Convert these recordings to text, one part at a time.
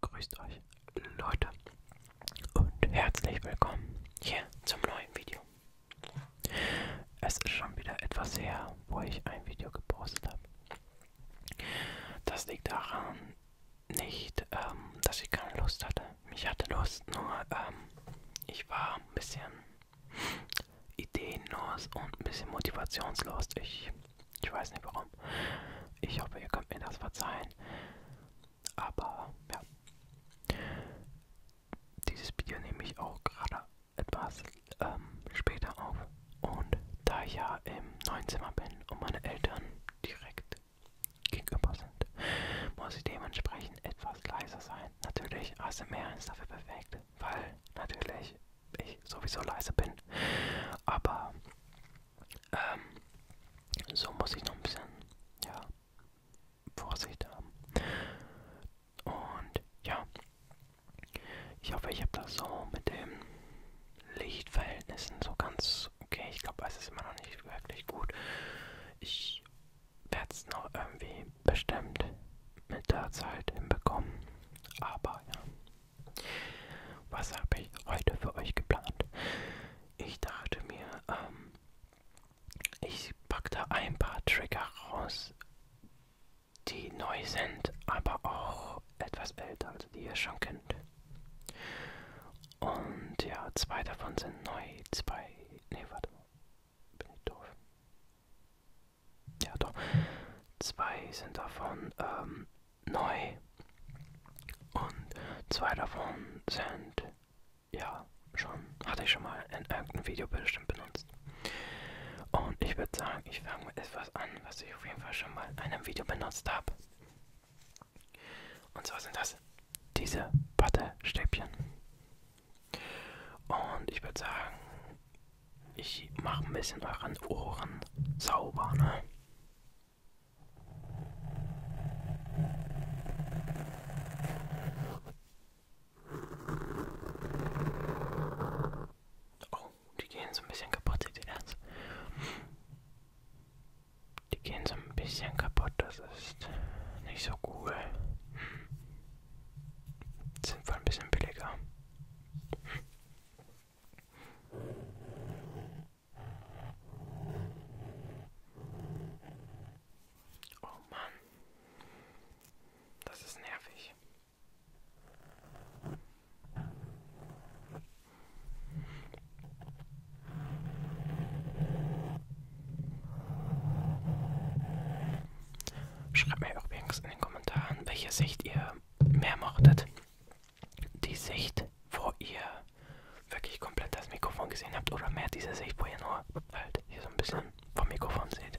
Grüßt euch Leute und herzlich willkommen hier zum neuen Video. Es ist schon wieder etwas her, wo ich ein Video gepostet habe. Das liegt daran nicht, ähm, dass ich keine Lust hatte. Ich hatte Lust, nur ähm, ich war ein bisschen ideenlos und ein bisschen motivationslos. Ich ich weiß nicht warum. Ich hoffe, ihr könnt mir das verzeihen. Aber ja. Dieses Video nehme ich auch gerade etwas ähm, später auf. Und da ich ja im neuen Zimmer bin und meine Eltern direkt gegenüber sind, muss ich dementsprechend etwas leiser sein. Natürlich, ASMR ist dafür perfekt, weil natürlich ich sowieso leise bin. Aber ähm, so muss ich noch ein bisschen, ja, Vorsicht haben. Und ja, ich hoffe, ich habe das so mit den Lichtverhältnissen so ganz okay. Ich glaube, es ist immer noch nicht wirklich gut. Ich werde es noch irgendwie bestimmt mit der Zeit hinbekommen. Aber ja. Was habe ich heute für euch geplant? Ich dachte mir, ähm, ich packe da ein paar Trigger raus, die neu sind, aber auch etwas älter, also die ihr schon kennt. Und ja, zwei davon sind neu, zwei. Ne, warte mal. Bin ich doof? Ja, doch. Zwei sind davon ähm, neu. Und zwei davon sind, ja, schon, hatte ich schon mal in irgendeinem Video bestimmt benutzt. Und ich würde sagen, ich fange mit etwas an, was ich auf jeden Fall schon mal in einem Video benutzt habe. Und zwar sind das diese Wattestäbchen. Und ich würde sagen, ich mache ein bisschen euren Ohren sauber, ne? Oh, die gehen so ein bisschen kaputt, seht ihr das? Die gehen so ein bisschen kaputt, das ist nicht so cool. Sind wohl ein bisschen billiger. Oh Mann. Das ist nervig. Schreibt mir übrigens in den Kommentaren, welche Sicht ihr mehr mochtet die Sicht, wo ihr wirklich komplett das Mikrofon gesehen habt oder mehr diese Sicht, wo ihr nur halt hier so ein bisschen vom Mikrofon seht.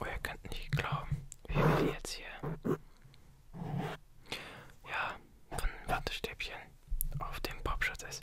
Oh, ihr könnt nicht glauben, wie wir die jetzt hier. Ja, von einem Wattestäbchen auf dem Popschutz ist.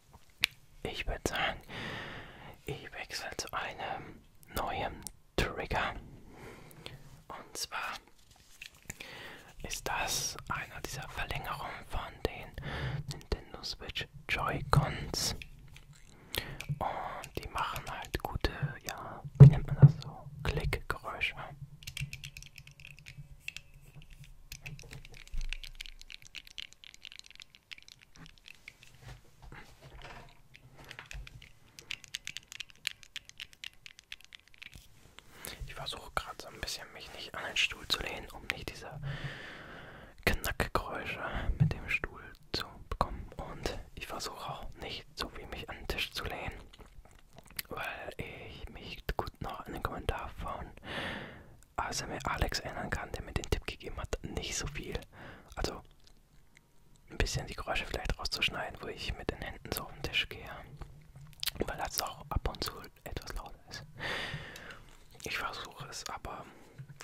Ich würde sagen, ich wechsle zu einem neuen Trigger. Und zwar ist das einer dieser Verlängerungen von den Nintendo Switch Joy-Cons. Und die machen halt gute, ja, wie nennt man das so? Klickgeräusche. Ich versuche gerade so ein bisschen mich nicht an den Stuhl zu lehnen, um nicht diese Knackgeräusche mit dem Stuhl zu bekommen. Und ich versuche auch nicht so viel mich an den Tisch zu lehnen, weil ich mich gut noch an den Kommentar von ASMR Alex erinnern kann, der mir den Tipp gegeben hat, nicht so viel. Also ein bisschen die Geräusche vielleicht rauszuschneiden, wo ich mit den Händen so auf den Tisch gehe. Weil das auch ab und zu etwas lauter ist. Ich versuche es, aber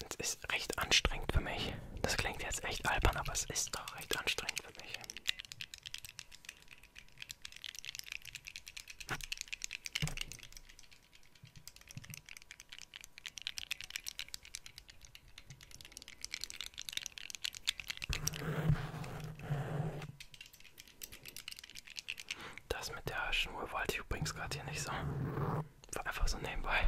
es ist recht anstrengend für mich. Das klingt jetzt echt albern, aber es ist doch recht anstrengend für mich. Das mit der Schnur wollte ich übrigens gerade hier nicht so. War einfach so nebenbei.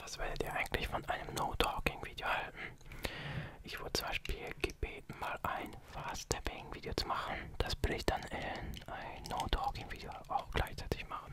Was werdet ihr eigentlich von einem No-Talking-Video halten? Ich wurde zum Beispiel gebeten, mal ein Fast-Tapping-Video zu machen. Das will ich dann in ein No-Talking-Video auch gleichzeitig machen.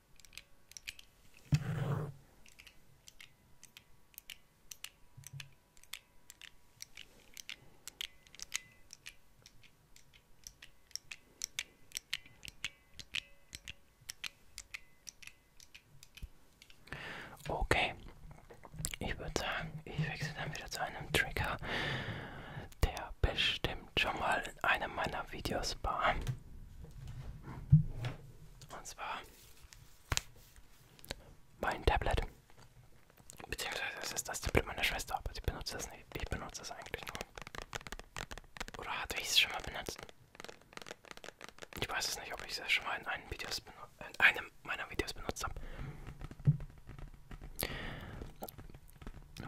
Okay, ich würde sagen, ich wechsle dann wieder zu einem Trigger, der bestimmt schon mal in einem meiner Videos war. Und zwar mein Tablet. Beziehungsweise es ist das Tablet meiner Schwester, aber sie benutzt das nicht. Ich benutze das eigentlich nur. Oder hatte ich es schon mal benutzt? Ich weiß es nicht, ob ich es schon mal in einem, Videos in einem meiner Videos benutzt habe.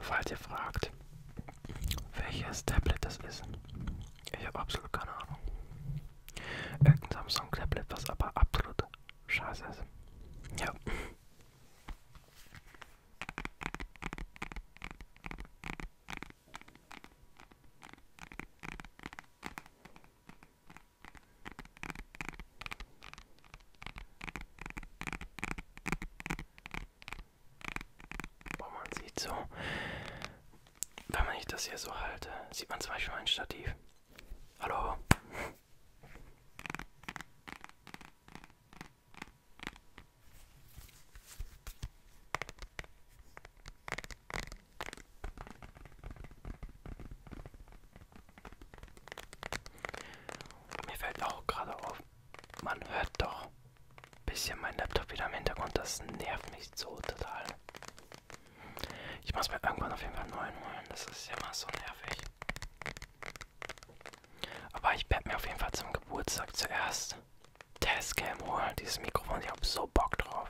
Falls ihr fragt, welches Tablet das ist. Ich habe absolut keine Ahnung. Irgendein Samsung-Tablet, was aber absolut scheiße ist. Ja. Boah, man sieht so, wenn man ich das hier so halte, sieht man zum Beispiel mein Stativ. Hallo? Mir fällt auch gerade auf, man hört doch ein bisschen mein Laptop wieder im Hintergrund. Das nervt mich so total. Ich muss mir irgendwann auf jeden Fall einen neuen holen. Das ist ja mal so nervig. Aber ich werde mir auf jeden Fall zum Geburtstag zuerst Testcam holen. Dieses Mikrofon, ich habe so Bock drauf.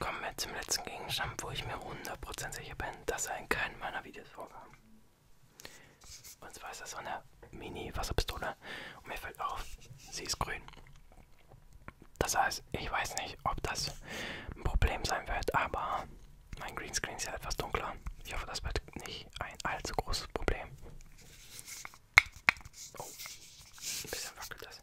Kommen wir zum letzten Gegenstand, wo ich mir 100% sicher bin, dass er in keinem meiner Videos vorkam. Und zwar ist das so eine Mini-Wasserpistole. Und mir fällt auf, sie ist grün. Das heißt, ich weiß nicht, ob das ein Problem sein wird, aber mein Greenscreen ist ja etwas dunkler. Ich hoffe, das wird nicht ein allzu großes Problem. Oh, ein bisschen wackelt das.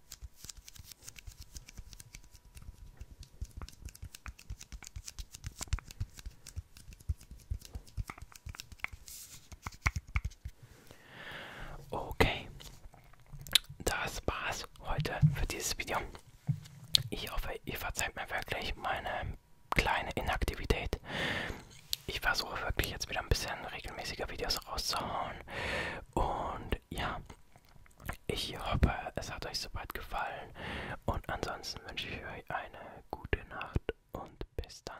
Okay, das war's heute für dieses Video. Ich hoffe, ihr verzeiht mir wirklich meine kleine Inaktivität. Ich versuche wirklich jetzt wieder ein bisschen regelmäßiger Videos rauszuhauen. Und ja, ich hoffe, es hat euch soweit gefallen. Und ansonsten wünsche ich euch eine gute Nacht und bis dann.